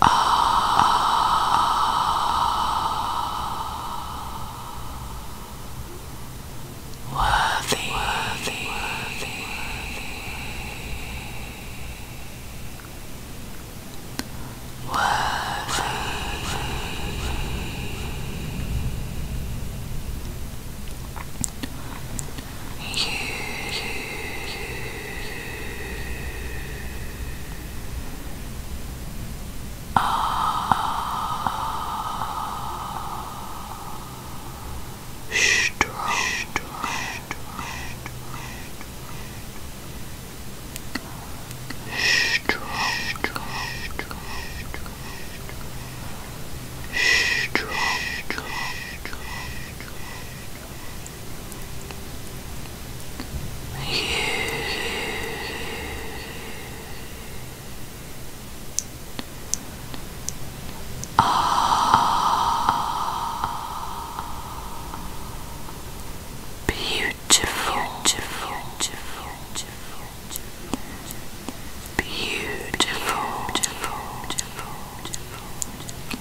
Worthy, worthy, worthy, worthy, worthy. You, you, you, Strong. Strong. Strong. Strong. Strong. Strong. You are beautiful, beautiful,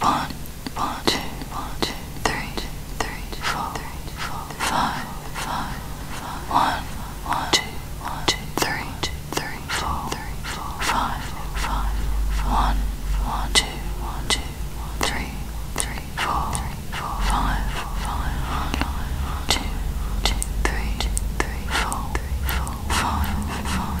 One, one, two, one, two, three, three, four, three, four, five, five, five, one, one, two, one, two, three, two, three, four, three, four, five, five, one, one, two, one, two, three, three, four, three, four, five, five, one, two, two, three, three, four, three, four, five, five, five.